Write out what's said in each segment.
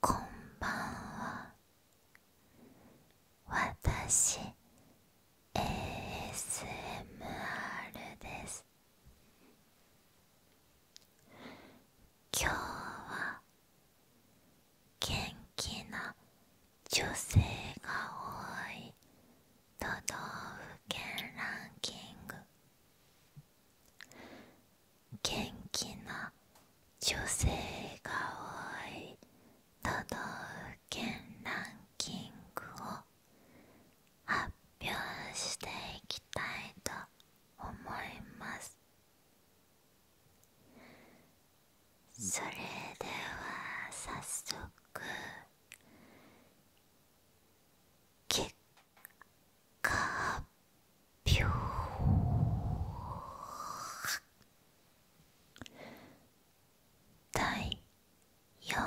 こんばんは私 ASMR です今日は元気な女性が多い都道府県ランキング元気な女性が多い都道府県ランキングを発表していきたいと思いますそれでは早速結果発表第47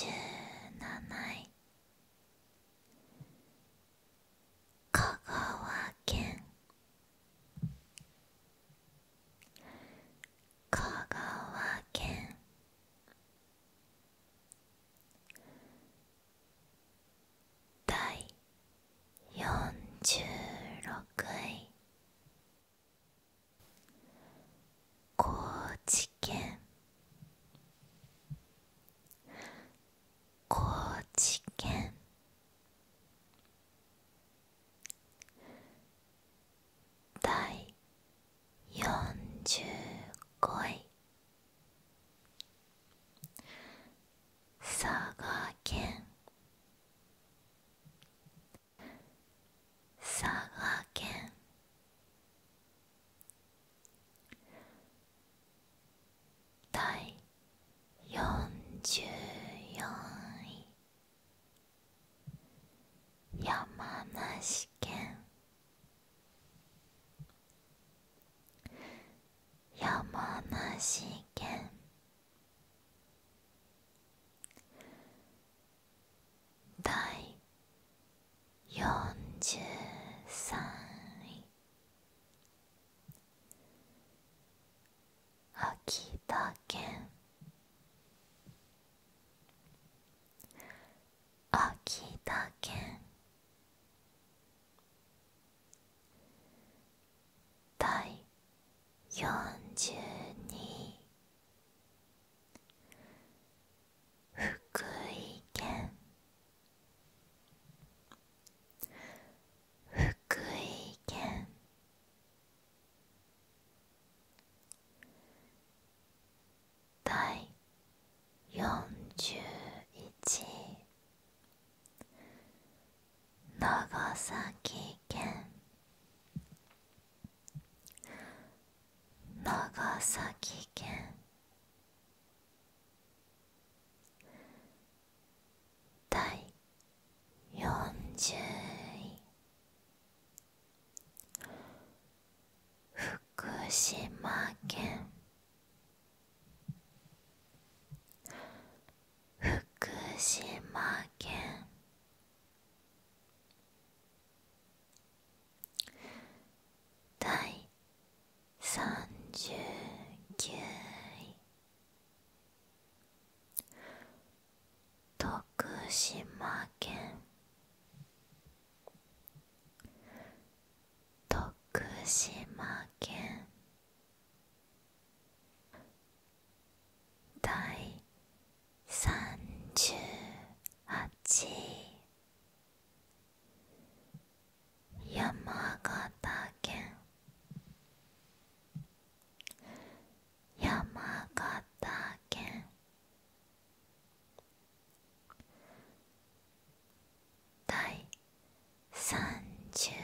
位香川県香川県第46位高知県高知県第四十。五位佐賀県佐賀県第四十四位山梨県山梨県第43位秋田県秋田県第42福井県福井県第41位長崎県長崎県第40位福島県福島県第39位徳島県徳島県第三十八。山形県山形県第37位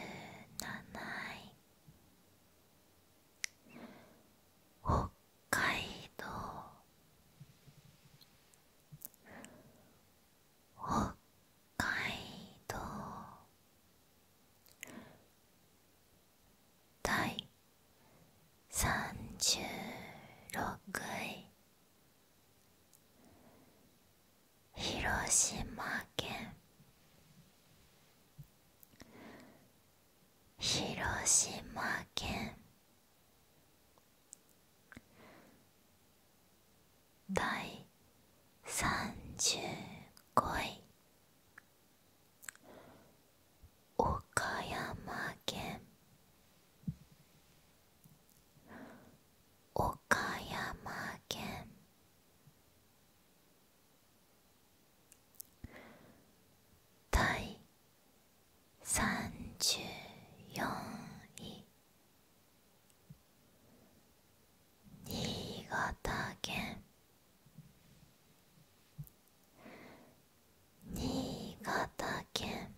北海道北海道第三十六位広島県広島県第三十五位岡山県岡山県第三十四位新潟県新潟県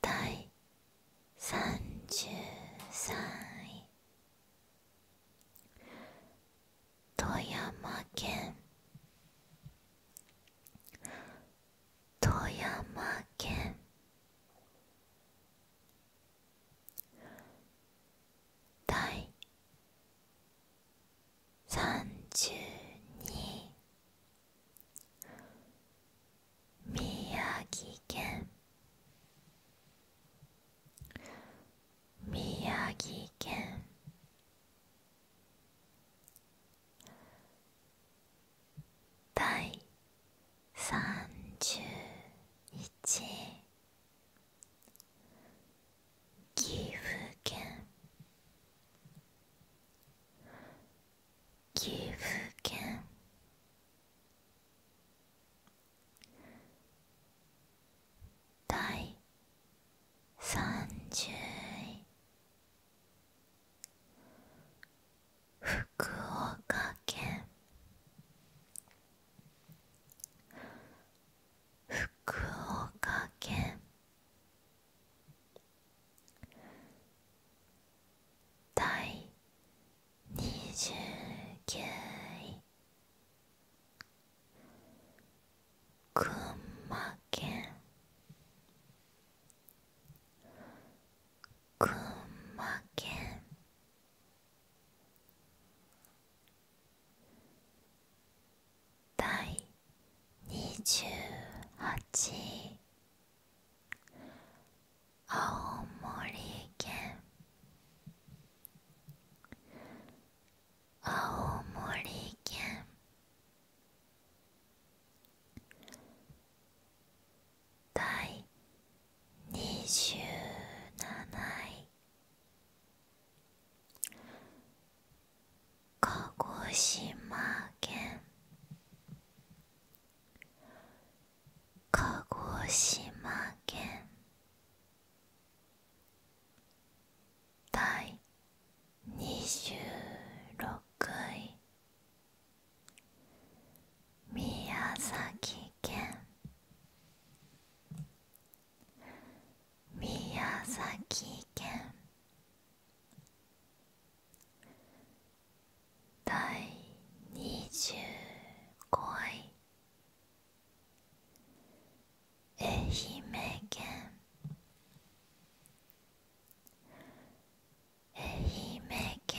第33位富山県富山県第三十二宮城県宮城県第三十一岐阜県岐阜県第三十位福岡県福岡県第29位群馬県群馬県第28位青森県青森県第27位鹿児島県鹿児島県第26位宮崎県宮崎県第二十五位愛媛県愛媛県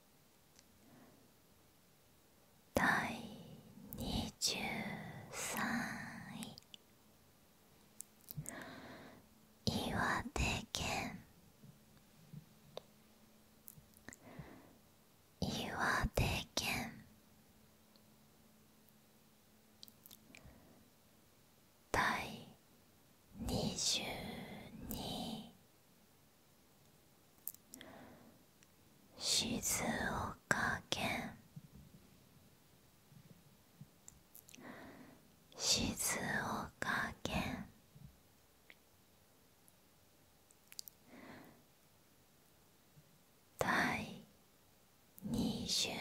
第23位岩手県岩手県第22位静岡県静岡県第二十位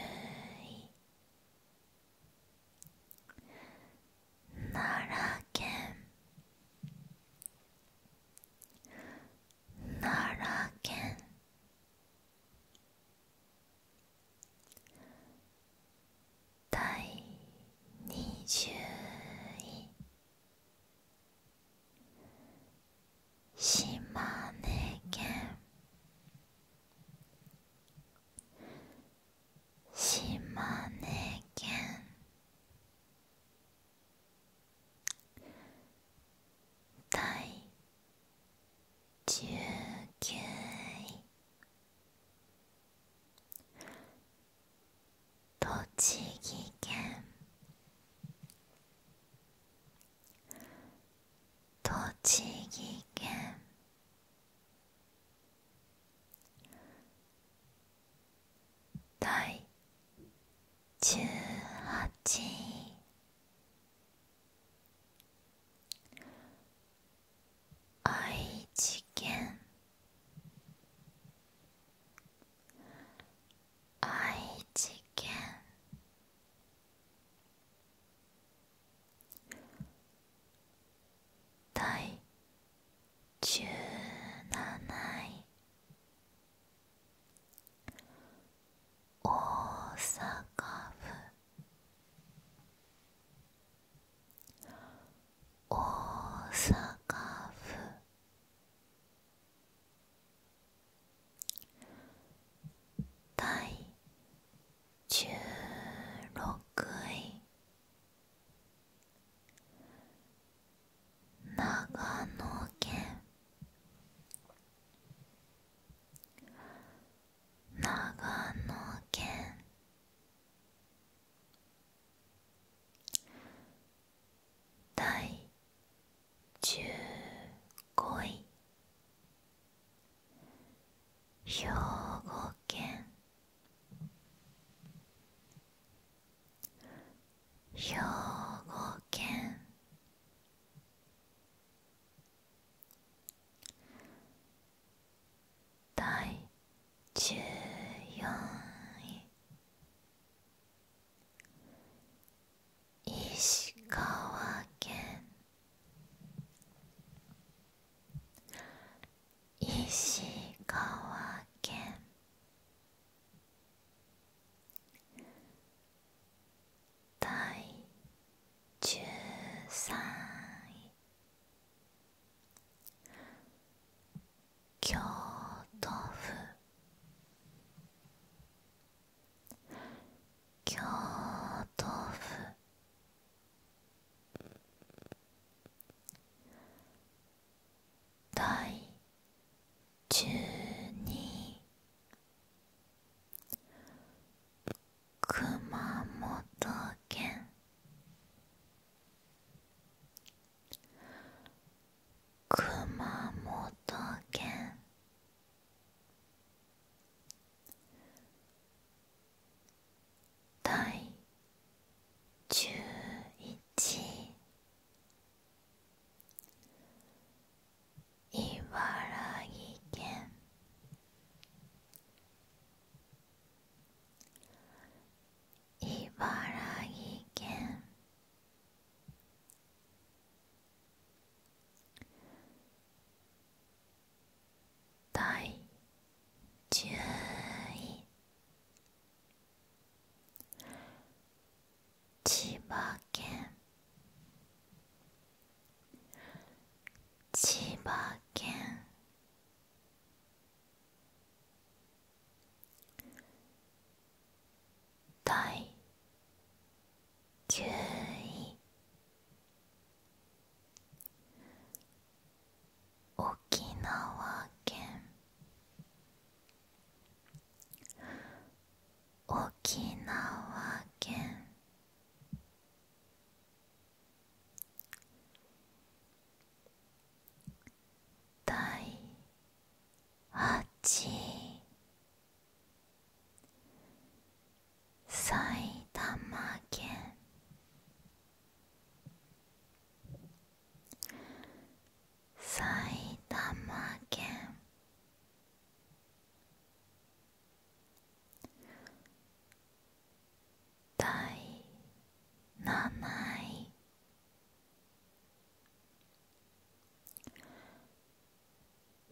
奈良県奈良県第20位島根県島根県第19位栃木県栃木県第18位愛知県愛知県第17位大阪府大阪府第16位長野県長野県第十五位兵庫県兵庫県第十四位石川県石川県第十三位京都府京都府第十二熊本県熊本県第11茨城県茨城県第注位。千葉県千葉県第九位沖縄県沖縄県第8位埼玉県埼玉県第7位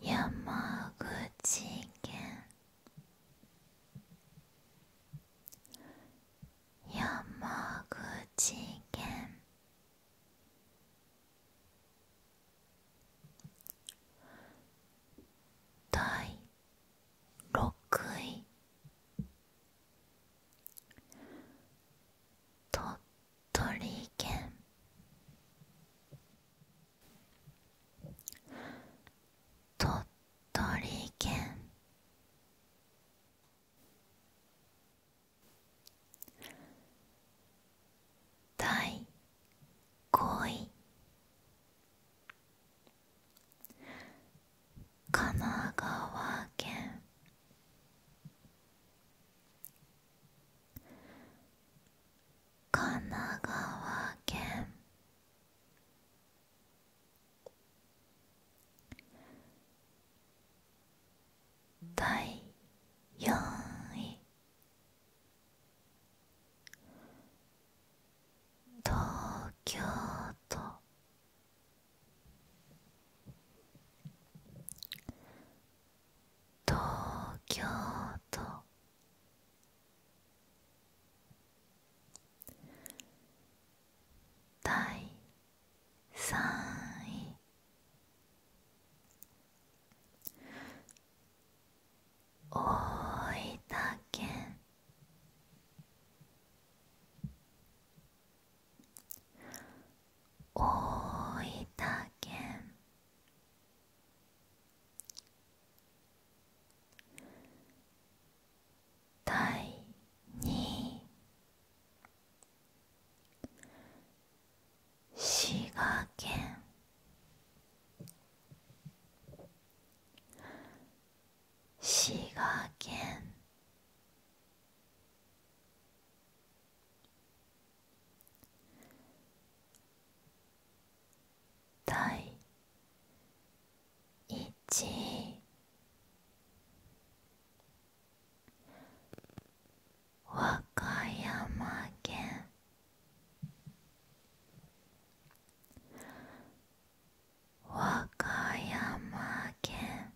山口県山口県第6位鳥取県鳥鳥県第5位神奈川県神奈川県第4位東京都東京都第3位大分県大分県第二滋賀県滋賀県第1位和歌山県和歌山県